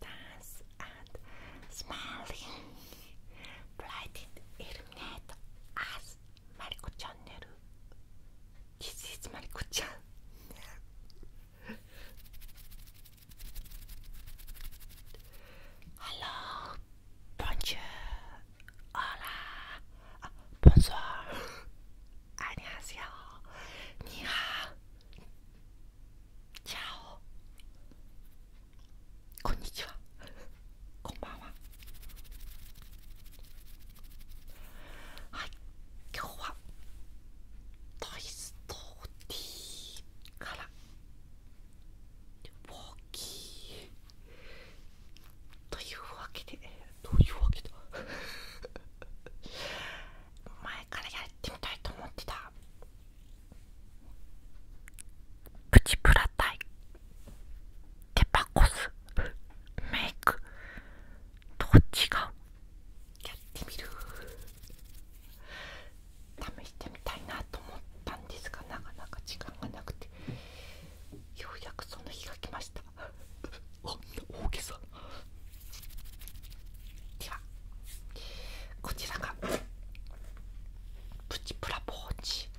dance and smiling brightened illuminate us Mariko-chan This is Mariko-chan Hello Bonjour Hola Bonsoir 안녕하세요 チャオこんにちはこんばんははい今日は「トイストーティー」から「ウォーキー」というわけでどういうわけだ 前からやってみたいと思ってたプチプラタイデパコスメイクどっちがやってみる試してみたいなと思ったんですがなかなか時間がなくてようやくその日が来ましたあんな大げさではこちらがプチプラポーチ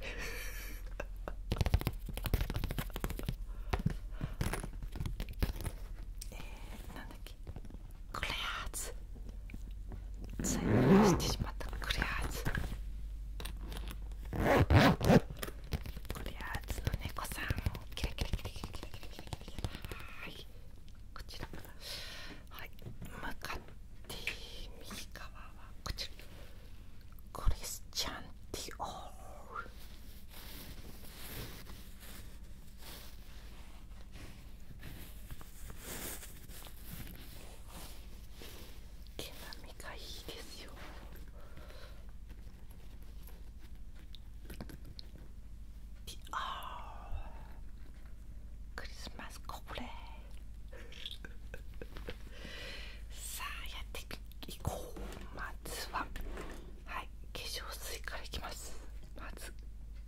クレアーズついにしてしまっクレアークレアーズの猫さんキラキラキラキラキラキラキラキラこちらはい向かって右側はこちらクリスチャン・ティオール毛並みがいいですよティオールクリスマスコブレさあやっていこうまずははい化粧水からいきますまず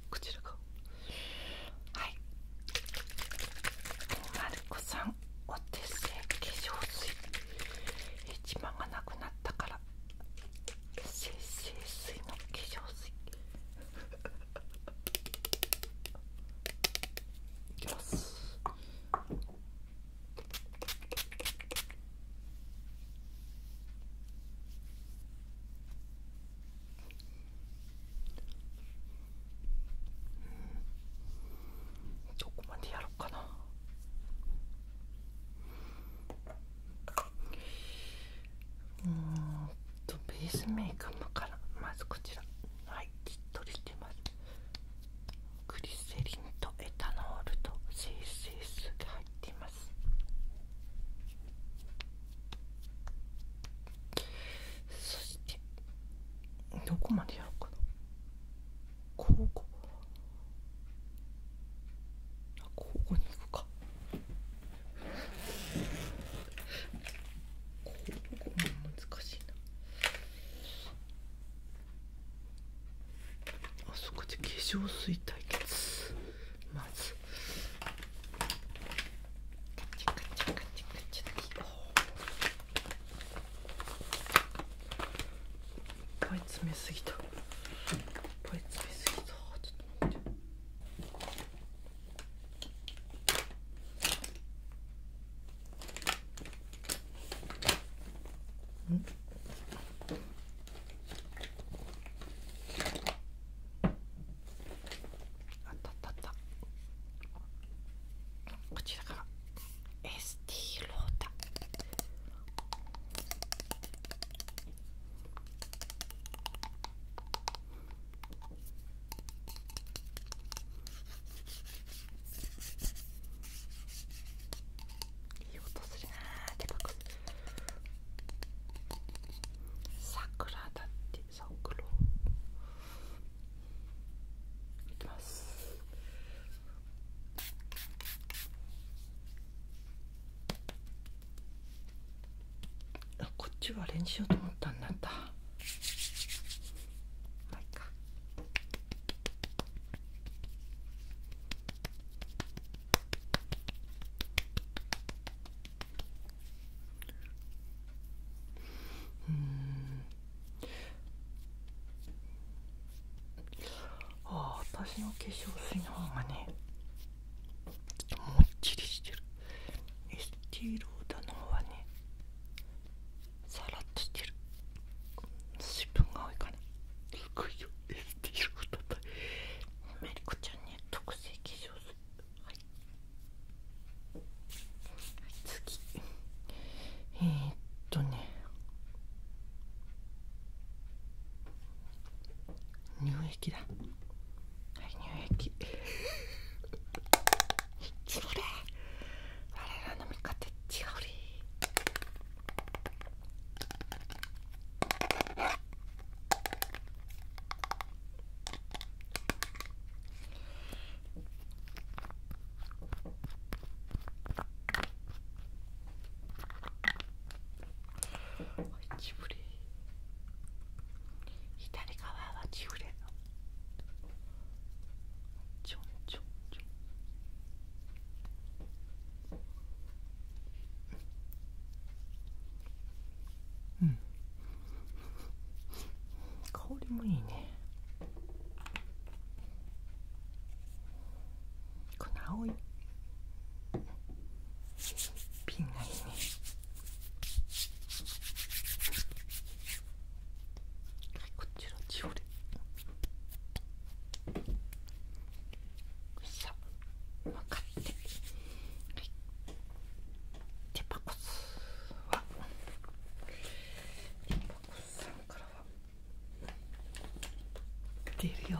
こちらがはいマルコさんお手製化粧水一番がなくなったから精製水の化粧水いきますどこまでやろうかなうんとベースメーカーからまずこちらはいきっとりしてますグリセリンとエタノールと CCS が入っていますそしてどこまでやろうかな交互交互に行くかここ難しいなあそこで化粧水対決まずいっぱい詰めすぎたいっぱい詰めすぎたちょっと待って。あったったったこちらから ST ロータいい音するなーってく。桜だって桜いきますあこっちはあれにしようと思ったんだったまあいかうんああ私の化粧水の方がねもっちりしてるエスティローダの方はねさらっとしてる水分が多いから。すごいよエスティーローダだメリコちゃんね特製化粧水はい、はい、次えっとね乳液だはい乳液 つぶれ我らの味方違うりいキブレ左側はキブレのちょんちょんちょんうん香りもいいねこの青いピンがいいねはいこちパコスはデパコスさんからは出るよ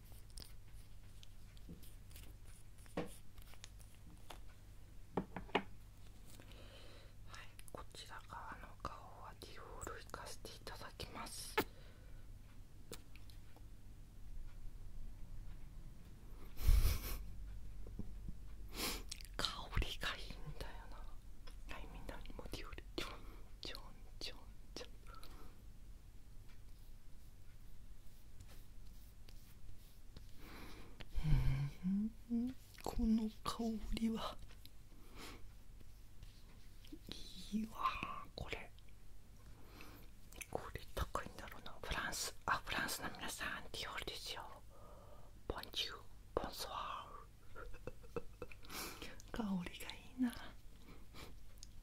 はい、こちら側の顔はディオールいかせていただきます。香りがいいんだよな。はい、みんなにもディオールちょんちょんちょんちょん。うんこの香りはいいわこれこれ高いんだろうなフランスあフランスの皆さんディオールですよンジューボンソワー 香りがいいな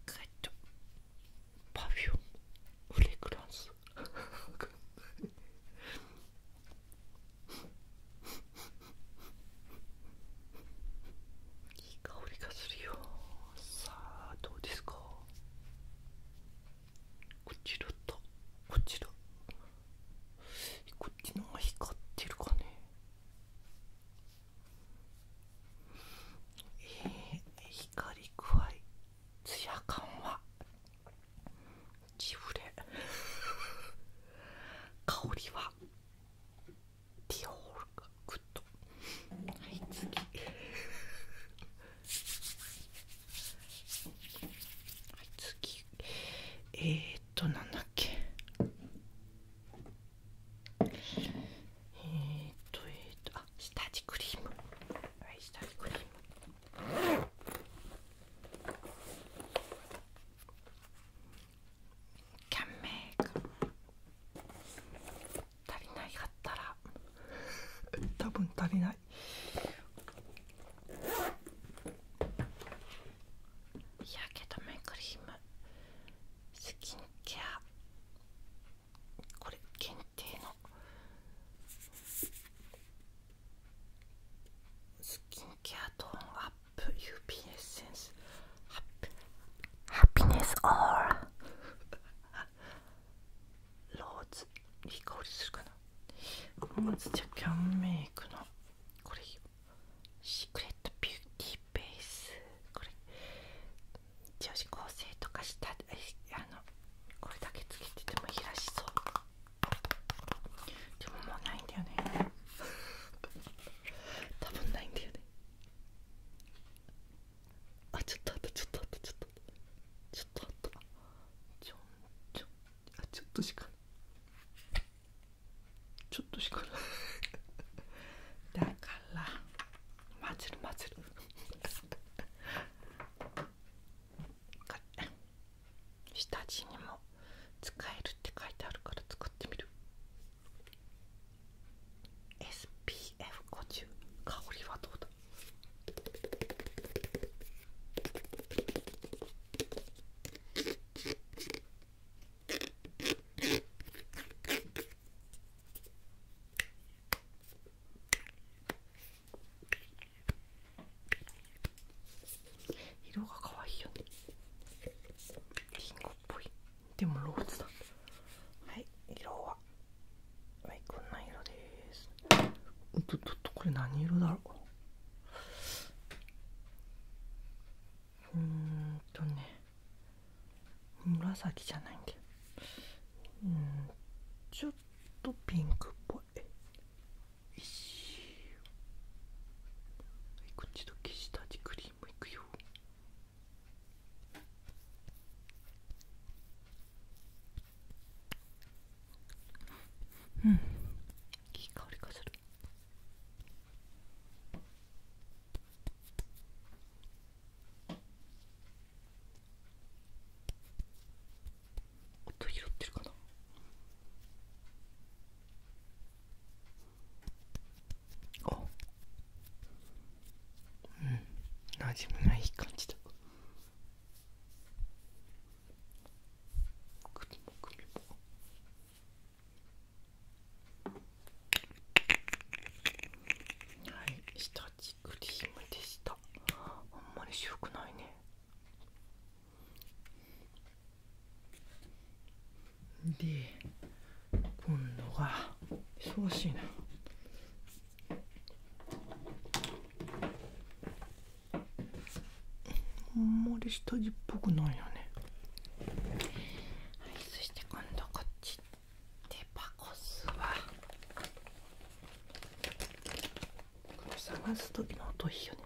カットパフュームフレグランス いい香りがするよさあどうですかこちらとこちらこっちのが光ってるかねええ、光具合ツヤ感はジフレ香りはディオールがグッドはい次はい次えー、っとなんだっけえー、っとえー、っと下地クリーム下地クリームキャンメイク足りないかったら 多分足りないやけどメイクリームスキンケアこれ限定のスキンケアトーンアップ UP エッセンスハッハピネスオーラローズリコールするかなまずじゃキャンメイクのこれシークレットビューティーベースこれ女子高生とかしたあのこれだけつけててもいらしそうでももうないんだよね 多分ないんだよねあちょっとあったちょっとあったちょっとあったちょっとあっちょちょあちょっとしかちょっとしかない だから混ぜる混ぜる下地にも使えるって書いてあるから作ってみる SPF50 香りはどうだ色が可愛いよねリンゴっぽいでもローズだはい色ははいこんな色ですちょとこれ何色だろううんとね紫じゃないんだようんちょっとピンクっぽいいしはいこっちと消した味クリームいくようんいい香りがする音拾ってるかなあうん馴染みがい感じだはい下地クリームでしたあんまり白くないねで今度は忙しいあんまり下地っぽくないよねはいそして今度こっちデパコスはこの探す時の音いいよね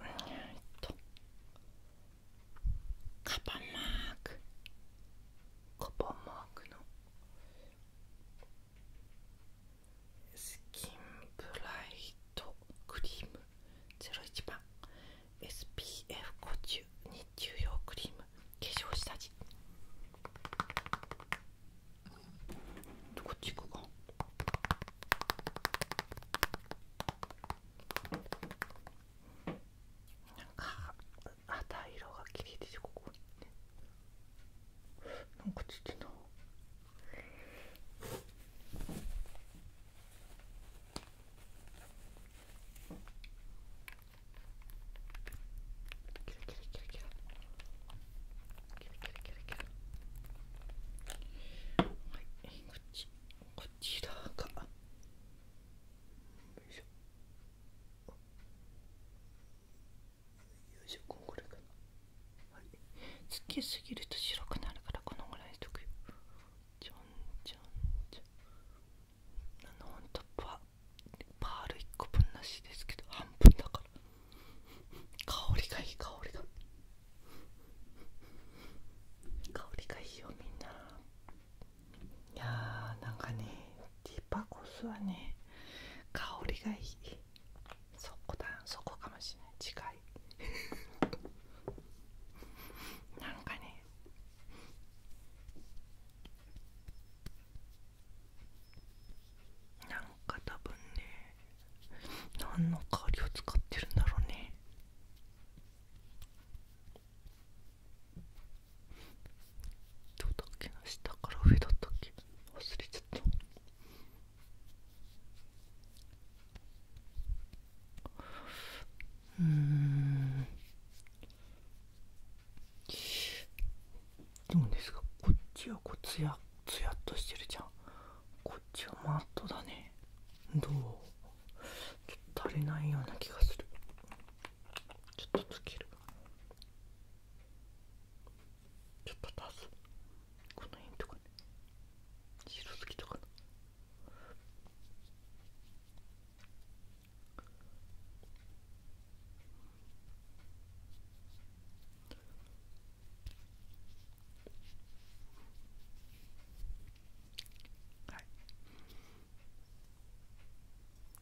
えっとカパンマークカパンマークのスキンブライトクリーム01番 SPF50 日中用クリーム化粧下地こっち行くかなんか肌色が綺麗ですここにねなんかちっちゃいこっちこちいしょこすぎると白くなるからこのぐらいしとくちょんちょんちょんあの本当とパール1個分なしですけど半分だから香りがいい香りが香りがいいよみんないやなんかねティパコスはね香りがいいそこだそこかもしれない近い なんかねなんか多分ね何の香りを使ってるんだろうねどとだっけな下から上だったっけ忘れちゃったうんどうですかこっちはこうツヤツヤっとしてるじゃんこっちはマットだねどうちょっと足りないような気がするちょっとつけるちょっと足すこの辺とか白すぎたかなはい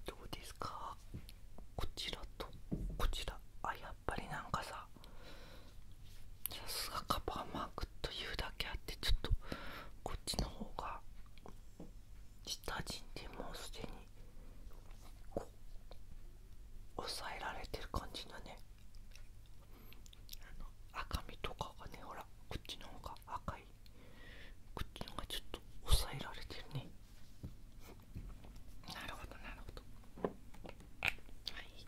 どうですかこちらとこちらあやっぱりなんかささすがカバーマークというだけあってちょっとこっちの方が下地にでもうすでにこう抑えられてる感じだねあの赤みとかがねほらこっちの方が赤いこっちの方がちょっと抑えられてるねなるほどなるほどはい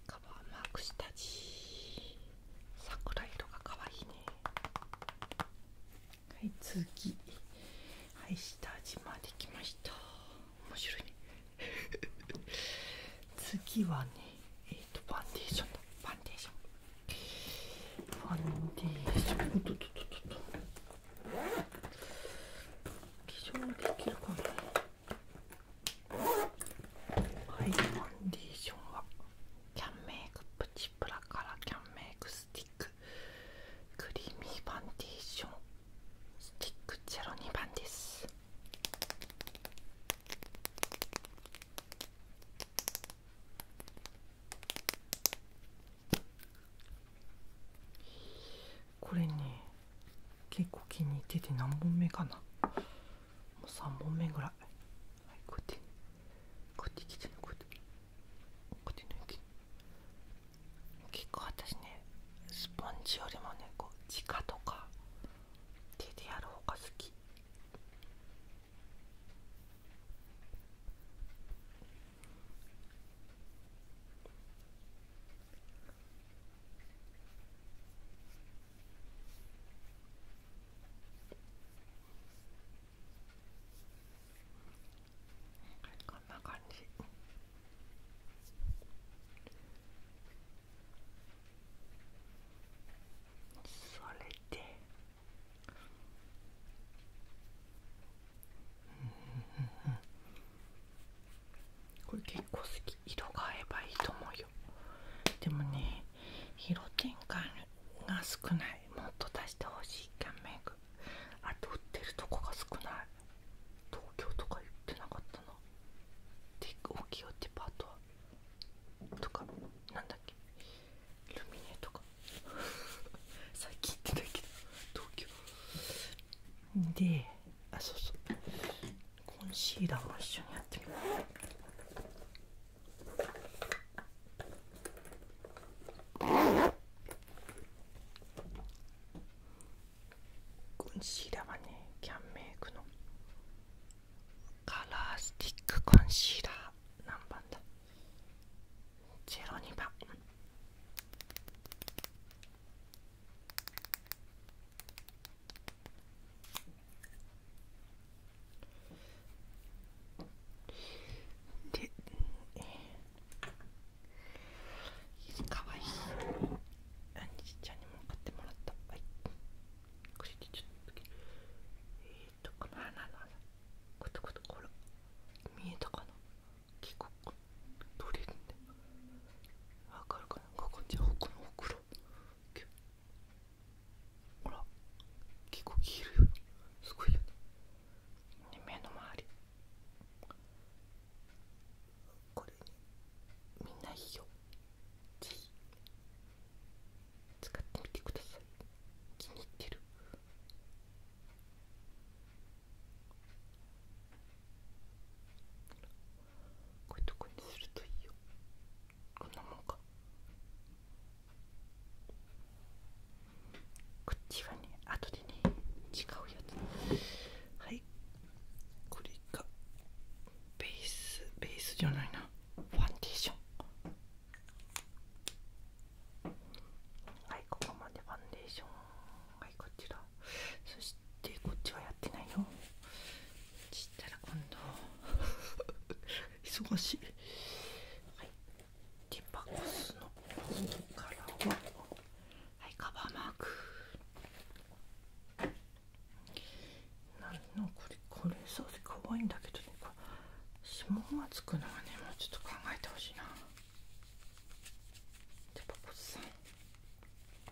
カバーマーク下地桜色が可愛いねはい次はい下地まで来ました面白いね 次はねえっ、とファンデーションだファンデーションファンデーションおっとっとっとっと化粧できるかもね。はいファンデーションはキャンメイクプチプラからキャンメイクスティッククリーミーファンデーションスティック02番ですこれね結構気に入ってて何本目かなもう3本目ぐらい、はい、こうやってこうやってこうやってこうやって抜いて結構私ねスポンジよりもねこう地下とか手でやる方が好きこんな感じそれでうんこれ結構好き色が合えばいいと思うよでもね色展開が少ないもっと出してほしいキャンメイクあと売ってるとこが少ない東京とか言ってなかったなで大きいよデパートはとか何だっけルミネとか 最近行ってたけど東京であそうそうコンシーラーも一緒にやってみようコンシーラーはねキャンメイクのカラースティックコンシーラー何番だ02番でかわいいあにじちゃんにも買ってもらったはいこれでちょっとえっ、とこの花の花ことことこれ見えたかな結構取れるんだわかるか가こ여권호구로이렇게뭐라기고기를쓰고있는네目の周りこれにみんないいよぜひ使ってみてください気に入ってるこういうとこにするといいよこんなもんかこっちはね後でね違うやつはいこれがベースベースじゃないなファンデーションはいここまでファンデーションはいこちらそしてこっちはやってないの。ちったら今度 忙しいはいディパコスの方からははいカバーマークなんのこれこれさせかわいいんだけどねこ指紋がつくのはねもうちょっと考えてほしいなディパコスさん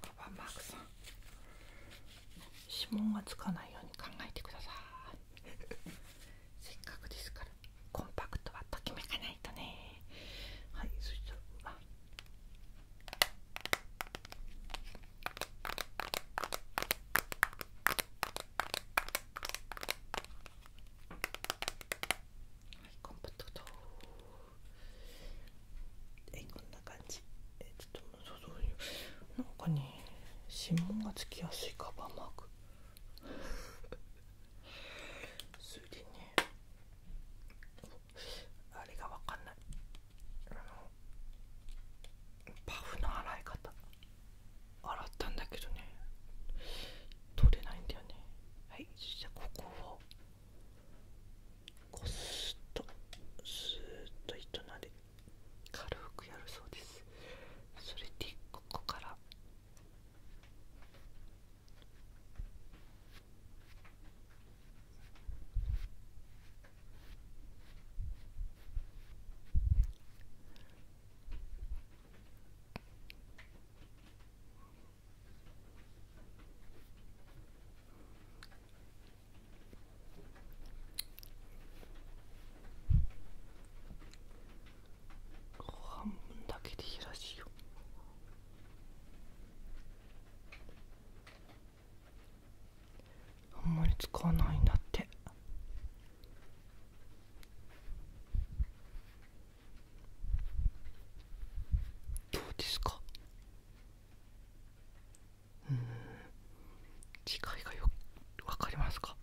パパマークさん指紋がつかないように考えてください せっかくですからコンパクトはときめかないとねはいそしたらはいコンパクトと。こんな感じえちょっとそうそういうなんかね指紋がつきやすいカバーマーク それでねあれがわかんないあのパフの洗い方洗ったんだけどね取れないんだよねはいじゃここをこすっとすーッと糸なで軽くやるそうですそれでここから半分だけでいいらしいよあんまり使わないんだってどうですかうん機械がよく分かりますか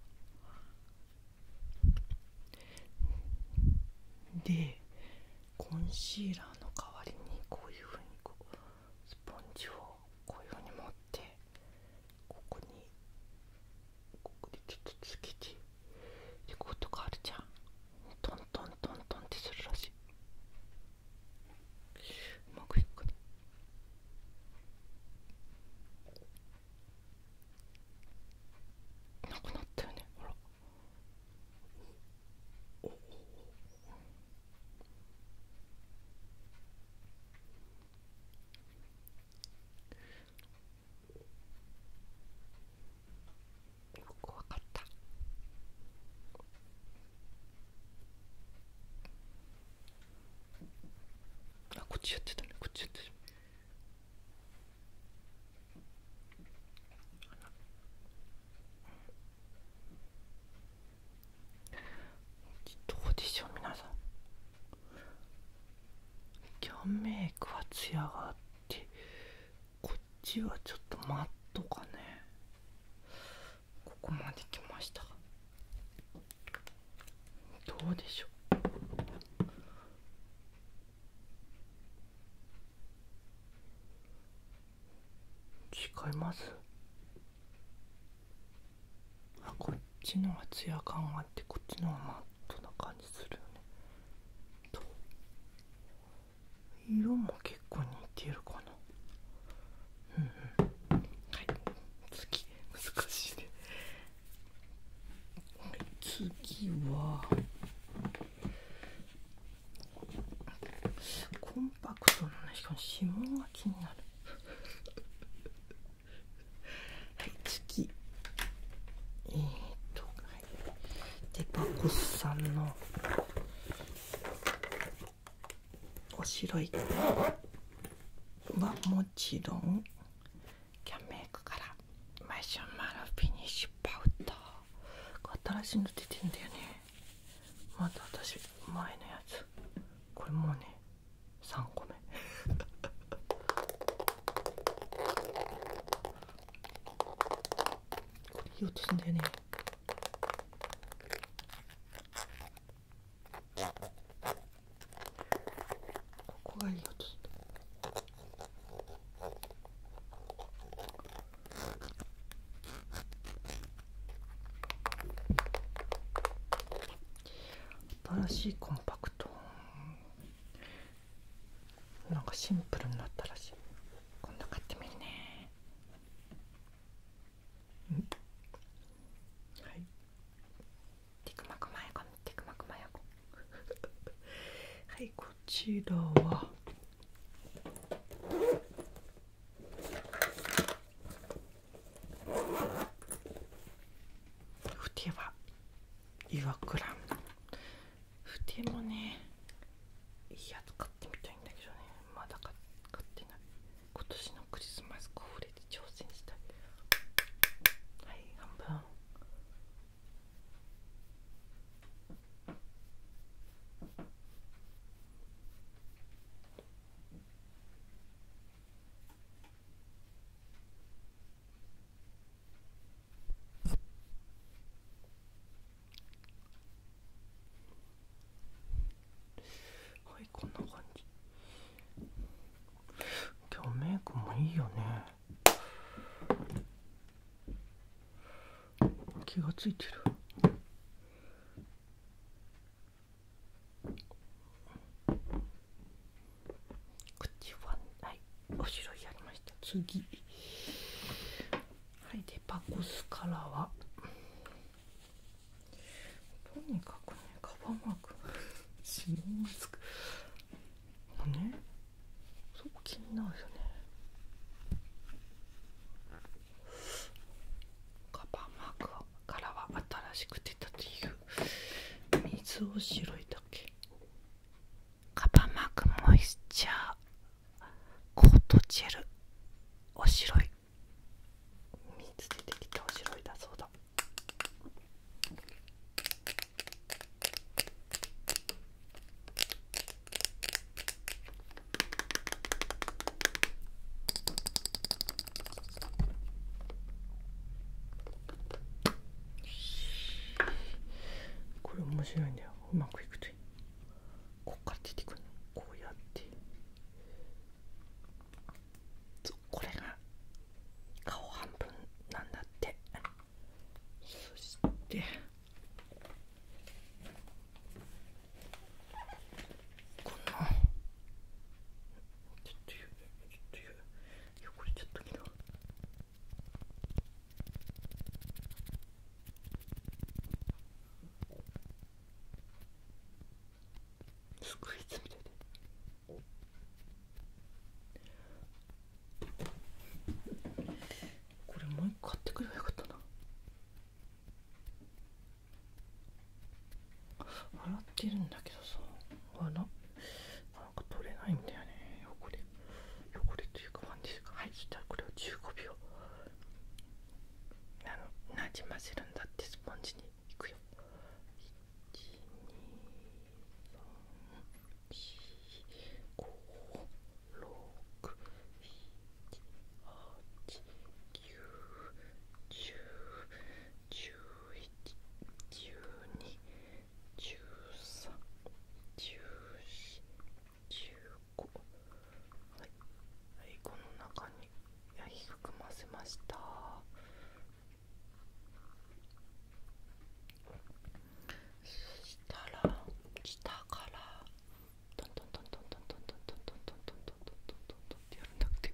でコンシーラーの代わりにこういうふうにこうスポンジをこういうふうに持ってここにここでちょっとつけてでこうとかあるじゃんトントントントンってするらしいうまくいくかななくなったよねほらおお怖かったあこっちやってたねこっちやってたどうでしょう皆さんキャンメイクは艶があってこっちはちょっとマットかねここまで来ましたどうでしょう違いますあこっちのはツヤ感があってこっちのはマットな感じするよねと色も結構似てるかなうんうんはい次難しいね次はコンパクトなねしかも指紋が気になるはい次えっとデパコスさんのおしろいはもちろんキャンメイクからマシュマロフィニッシュパウダー新しいの出てんだよねまた私前のやつこれもうね3個目 これいい音すんだよねここがいいよちょっと。新しいコンパクトなんかシンプルになったらしいこ今度買ってみるねはいテクマクマヤコテクマクマヤコ はいこちらはふては岩倉ふてもねいいやつ買買ってみたいんだけどねまだ買ってない今年のクリスマスコフレで挑戦したいはい半分はいこんな感じ今日メイクもいいよね気がついてる口ははいおしろいやりました次はいでパコスカラーはとにかくねカバーマーク指紋がつくうねそこ気になるよねカバーマークからは新しく出たという水を白いだけカバーマークモイスチャーコートジェルお白いい水でてきておしろいだそうだこれ面白いんだようまくいくといいこっから出てくるのこうやってこれが顔半分なんだってそしてこのちょっと言う、ちょっと言う。汚れちょったけどスクイズみたいでこれもう一回買ってくればよかったな洗ってるんだけどさあらなんか取れないんだよね汚れ汚れというかワンディうクはいじたら、これを15秒なじませるんだってスポンジにいくよ1 2 3 1 4 1 5 1 6 1 7 1 8 1 9 1 9 1 2 1 3 1 4 1 5こ,、はいはい、この中にや、低くませましたそしたら下からトントントントントントントントントントントントントンってやるんだって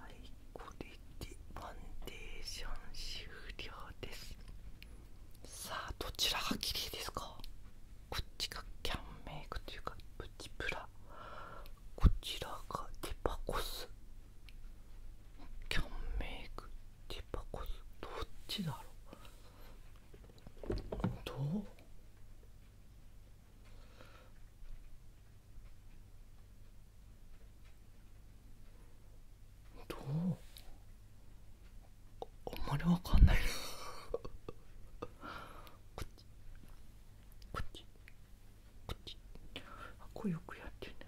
はいこれでファンデーション終了ですさあどちらが綺麗ですかこっちがキャンメイクというかプチプラこちらがデパコスキャンメイクデパコスどっちだろうどうどうあんまりわかんないなこっちこっちこっちあこれよくやってるね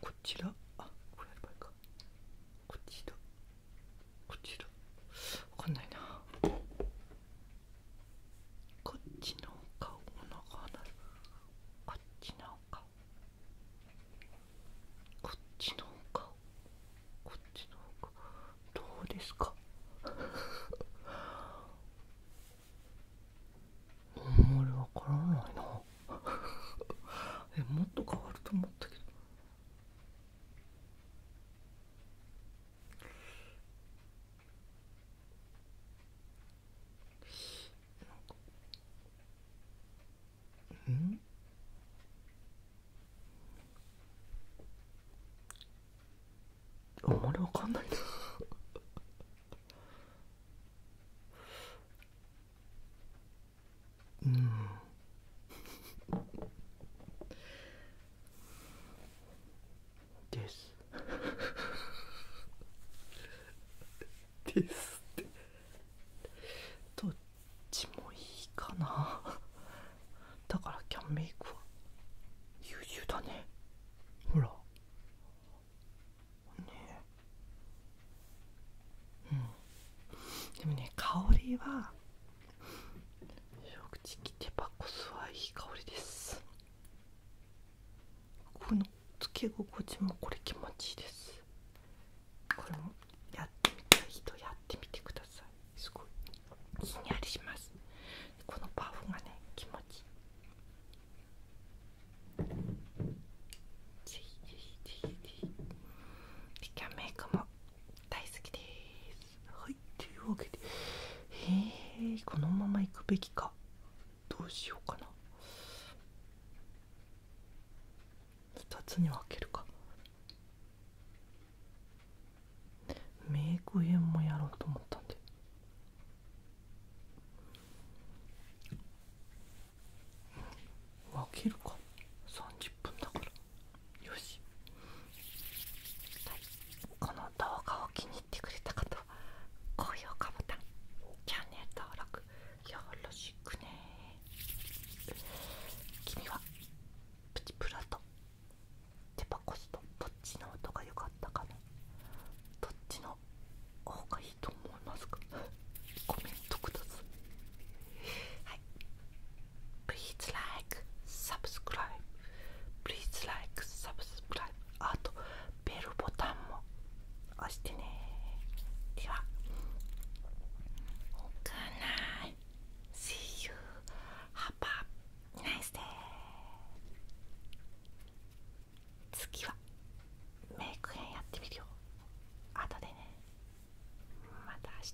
こちらあこれやればいいかこっちだこちらわかんないなこっちの顔の方なこっちの顔こっちの顔こっちの顔どうですかあんまりわからないなえもっと変わると思ったけどうんあんまりわかんないなうんです ですってどっちもいいかなだからキャンメイクは優秀だねほらねうんでもね香りは正直手箱酢はいい香りですこのつけ心地もこれ気持ちいいですこれもやってみたい人やってみてくださいすごいひんやりしますこのパフがね気持ちいいぜひぜひぜひぜひキャンメイクも大好きですはいというわけでへえこのまま行くべきかどうしようかな2つに分けるかメイク園もやろうと思ったんで分けるか30分だからよし、この動画を気に入ってくれた方は高評価ボタンチャンネル登録よろしくね君はプチプラとデパコスとどっちの音が良かったかなどっちの方がいいと思いますかコメントください please like subscribe please like subscribe あとベルボタンも押してねでは Good night see you have a nice day 次はメイク編やってみるよ後でねまた明日